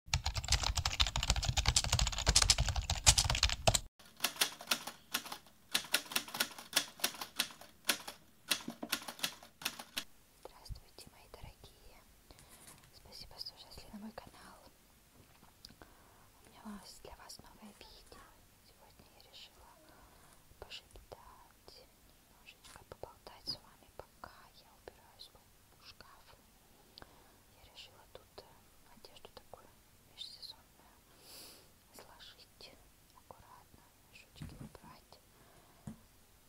Здравствуйте, мои дорогие! Спасибо, что зашли на мой канал. У меня вас, для вас новое видео. Сегодня я решила пошептать, немножечко поболтать с вами, пока я убираюсь в шкаф. Я решила тут э, одежду такую межсезонную сложить аккуратно, мешочки убрать.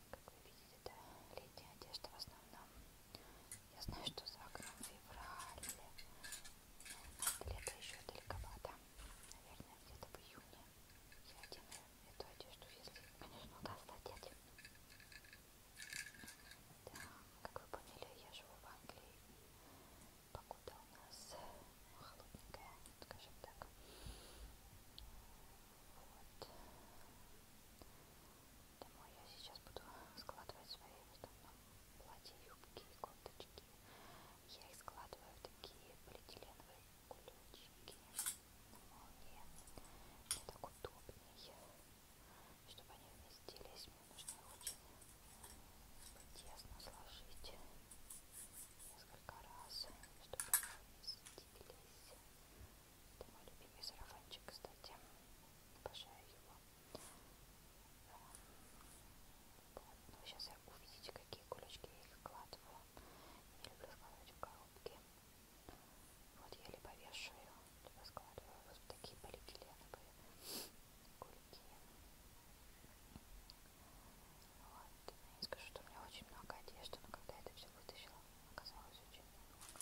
Как вы видите, это летняя одежда в основном. Я знаю, что за окном февраль. От лета еще далековато. Наверное, где-то в июне я одену эту одежду, если, конечно, удастся одеть. Да, как вы поняли, я живу в Англии. Погода у нас холодненькая, скажем так. Вот. Думаю, я сейчас буду складывать свои в основном платья, юбки и кофточки. Я их складываю в такие полиэтиленовые кулечки молнии. Мне так удобнее, чтобы они вместились. Мне нужно их очень тесно сложить несколько раз, чтобы они вместились. Это мой любимый сарафанчик, кстати. Обожаю его. Вот. Ну, сейчас я увидите, какие кулечки я их складываю. Не люблю складывать в коробки. Вот еле повешу ее, туда складываю. Вот такие полиэтиленовые кульки. Вот. Я не скажу, что у меня очень много одежды, но когда я это все вытащила, оказалось очень много. Вот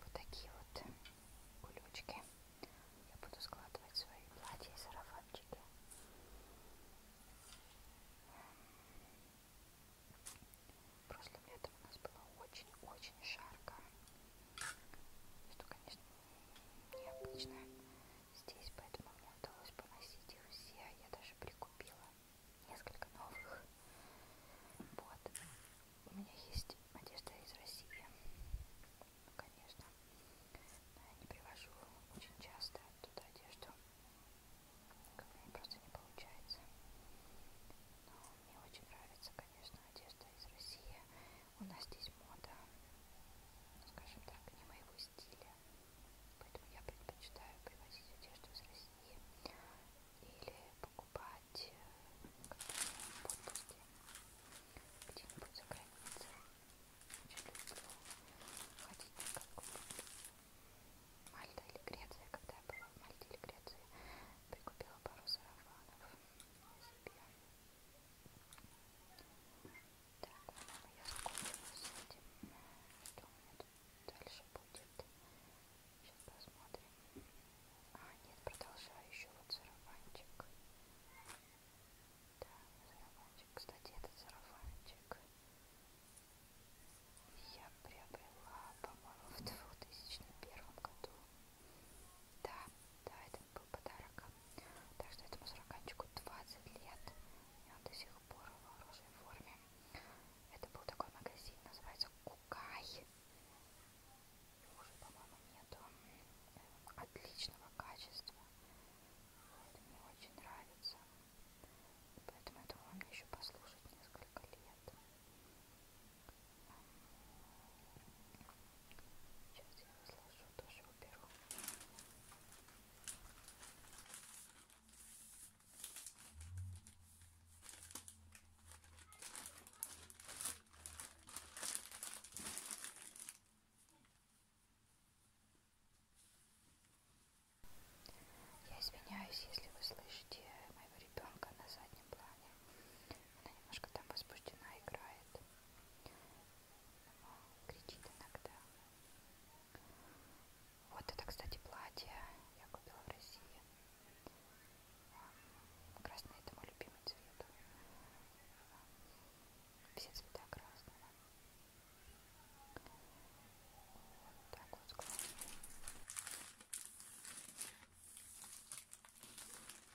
Вот такие вот кулечки. Я буду складывать свои платья и сарафанчики. Прошлым летом у нас было очень-очень жарко. Что, конечно, необычно здесь, поэтому мне удалось поносить их все. А я даже прикупила несколько новых. Вот. У меня есть одежда из России. Ну, конечно. Но я не привожу очень часто туда одежду. Как мне просто не получается. Но мне очень нравится, конечно, одежда из России у нас здесь мода, ну, скажем так, не моего стиля. Поэтому я предпочитаю привозить одежду из России или покупать э, в отпуске где-нибудь за границей. Очень люблю ходить на какую-нибудь Мальта или Греция. Когда я была в Мальте или Греции, прикупила пару сарафанов себе. Так, по-моему, я закончила с этим. Что у меня тут дальше будет? Сейчас посмотрим. А, нет, продолжаю еще вот сарафанчик. Да, сарафанчик. Кстати, этот сарафанчик я приобрела, по-моему, в 2001 году. Да, да, это был подарок. Так что этому сурганчику 20 лет. И он до сих пор в хорошей форме. Это был такой магазин, называется Кукай. Его уже, по-моему, нету. Отличного качества. Это мне очень нравится. Поэтому я думаю, мне еще послушать несколько лет. Сейчас я разложу, тоже уберу. Я извиняюсь, если вы слышите моего ребенка на заднем плане. Она немножко там возбуждена играет. Но кричит иногда. Вот это, кстати, платье я купила в России. Красный это мой любимый цвет. Все цвета красного. Вот так вот складываем.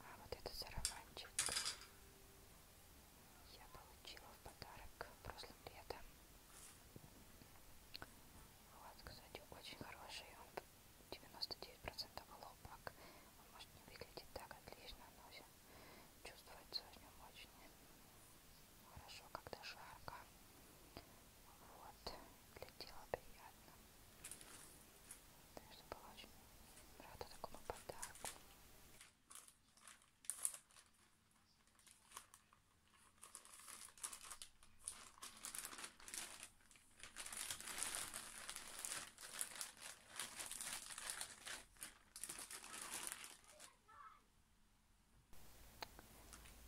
А вот этот сарафанчик я получила в подарок прошлым летом. Вот, кстати, очень хороший. Он 99% хлопок. Он может не выглядит так отлично, но чувствуется в нем очень хорошо, когда жарко. Вот, для тела приятно. Так что была очень рада такому подарку.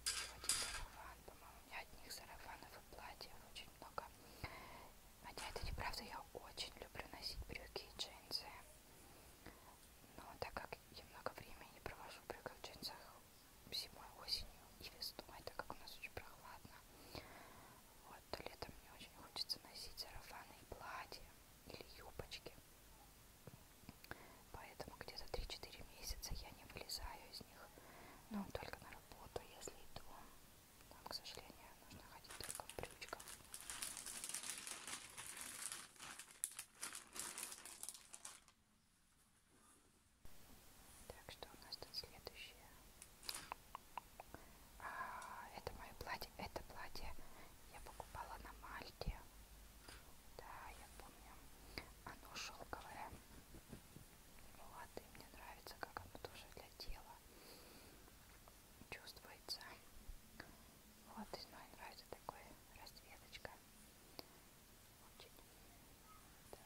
Один сарафан, по-моему, у меня одних сарафанов и платьев очень много. Хотя это неправда, я очень люблю носить брюки и джинсы. Но так как я много времени провожу в брюках и джинсах зимой, осенью и весной, так как у нас очень прохладно, вот, то летом мне очень хочется носить сарафаны и платья или юбочки. Поэтому где-то 3-4 месяца я не вылезаю из них. Но только на работу, если иду. Там, к сожалению, нужно ходить только в брючках. Так, что у нас тут следующее? А, это мое платье. Это платье я покупала на Мальте. Да, я помню. Оно шелковое. Вот, и мне нравится, как оно тоже для тела чувствуется. Вот, и мне нравится такой расцветочка. Очень. Да.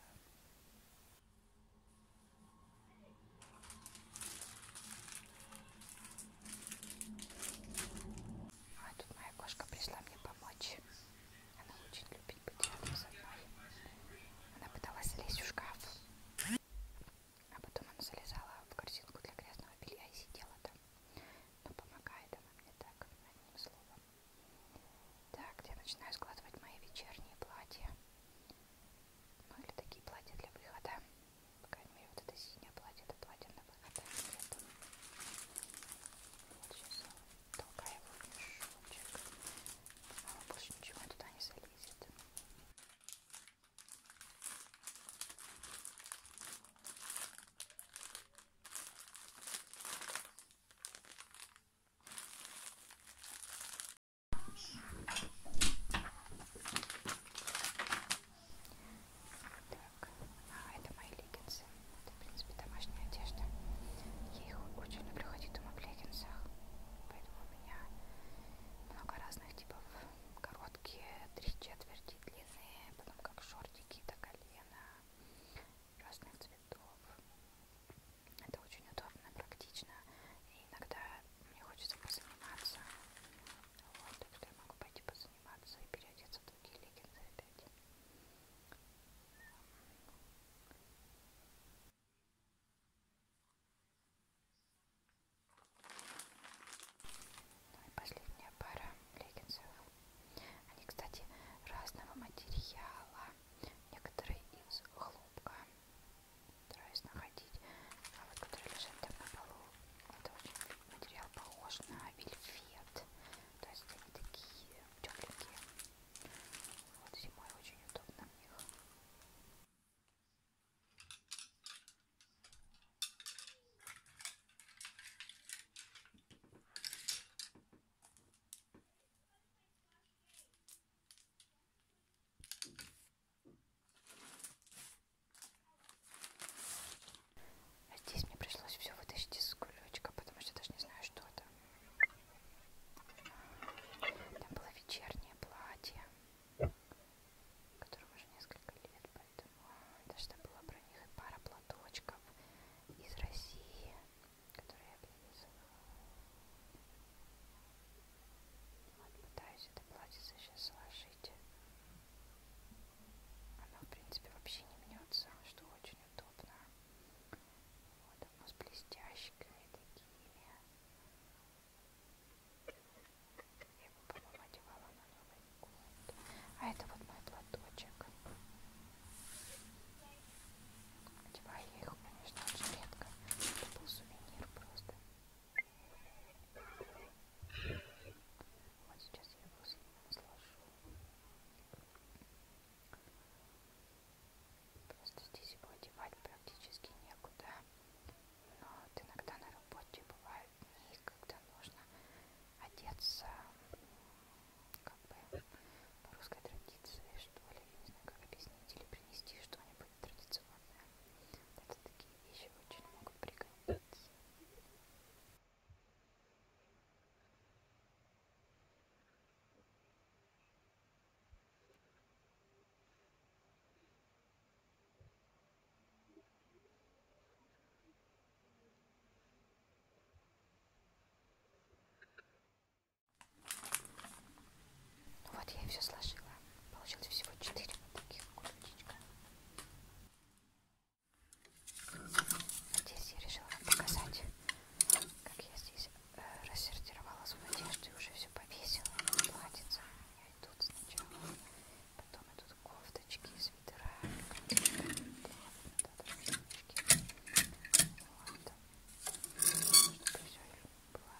А тут моя кошка пришла мне помочь. Она очень любит быть рядом со мной. Она пыталась залезть в шкаф. А потом она залезала в корзинку для грязного белья и сидела там. Но ну, помогает она мне так, одним словом. Так, я начинаю складывать мои вечерние платья. Ну или такие платья для выхода. По крайней мере, вот это синее платье, это платье на выход, а не летом. Вот сейчас толкаю его в мешочек. А больше ничего туда не залезет. Так, а это мои леггинсы. Это, в принципе, домашняя одежда. Я их очень люблю ходить дома в леггинсах. Поэтому у меня много разных типов. Короткие, три четверти длинные, потом как шортики до колена, разных цветов. Это очень удобно, практично. И иногда мне хочется позаниматься. Вот, так что я могу пойти позаниматься и переодеться в другие леггинсы опять. Ну и последняя пара леггинсов. Они, кстати, разного материала. Некоторые из хлопка, стараюсь находить. А вот который лежит там на полу, это очень материал похож на вельвет. То есть они такие тепленькие. Вот зимой очень удобно в них. А здесь мне пришлось все вытащить из кулечка, потому что даже не знаю, что это. Там было вечернее платье, которому уже несколько лет, поэтому а, даже было про них и пара платочков из России, которые я привезла. Вот пытаюсь это платьице сейчас сложить. Оно, в принципе, вообще не мнется, что очень удобно. Вот оно с блестящиками такими. Я его, по-моему, одевала на Новый год. А это вот мой платочек. Одеваю я их, конечно, очень редко. Это был сувенир просто. Вот сейчас я его сложу. Просто здесь его одевать практически некуда. Но вот иногда на работе бывают дни, когда нужно одеться как бы по русской традиции, что ли, я не знаю, как объяснить или принести что-нибудь традиционное. Это такие вещи очень могут пригодиться. Ну вот я и все сложила. Получилось всего 4 вот таких кулечка. Здесь я решила вам показать, как я здесь э, рассортировала свою одежду и уже все повесила. Платьица. Я и тут сначала. Потом идут кофточки, свитера, кофточки, вот, что-то все было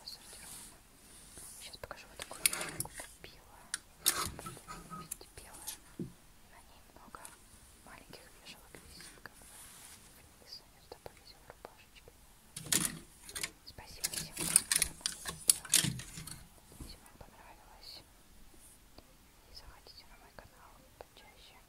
рассортировано. Сейчас покажу вот такую вещку купила. Видите, белая. На ней много маленьких вешалок висит, как бы. И Саня сюда повесил рубашечки. Спасибо всем, кто смотрел. Если вам понравилось, и заходите на мой канал почаще.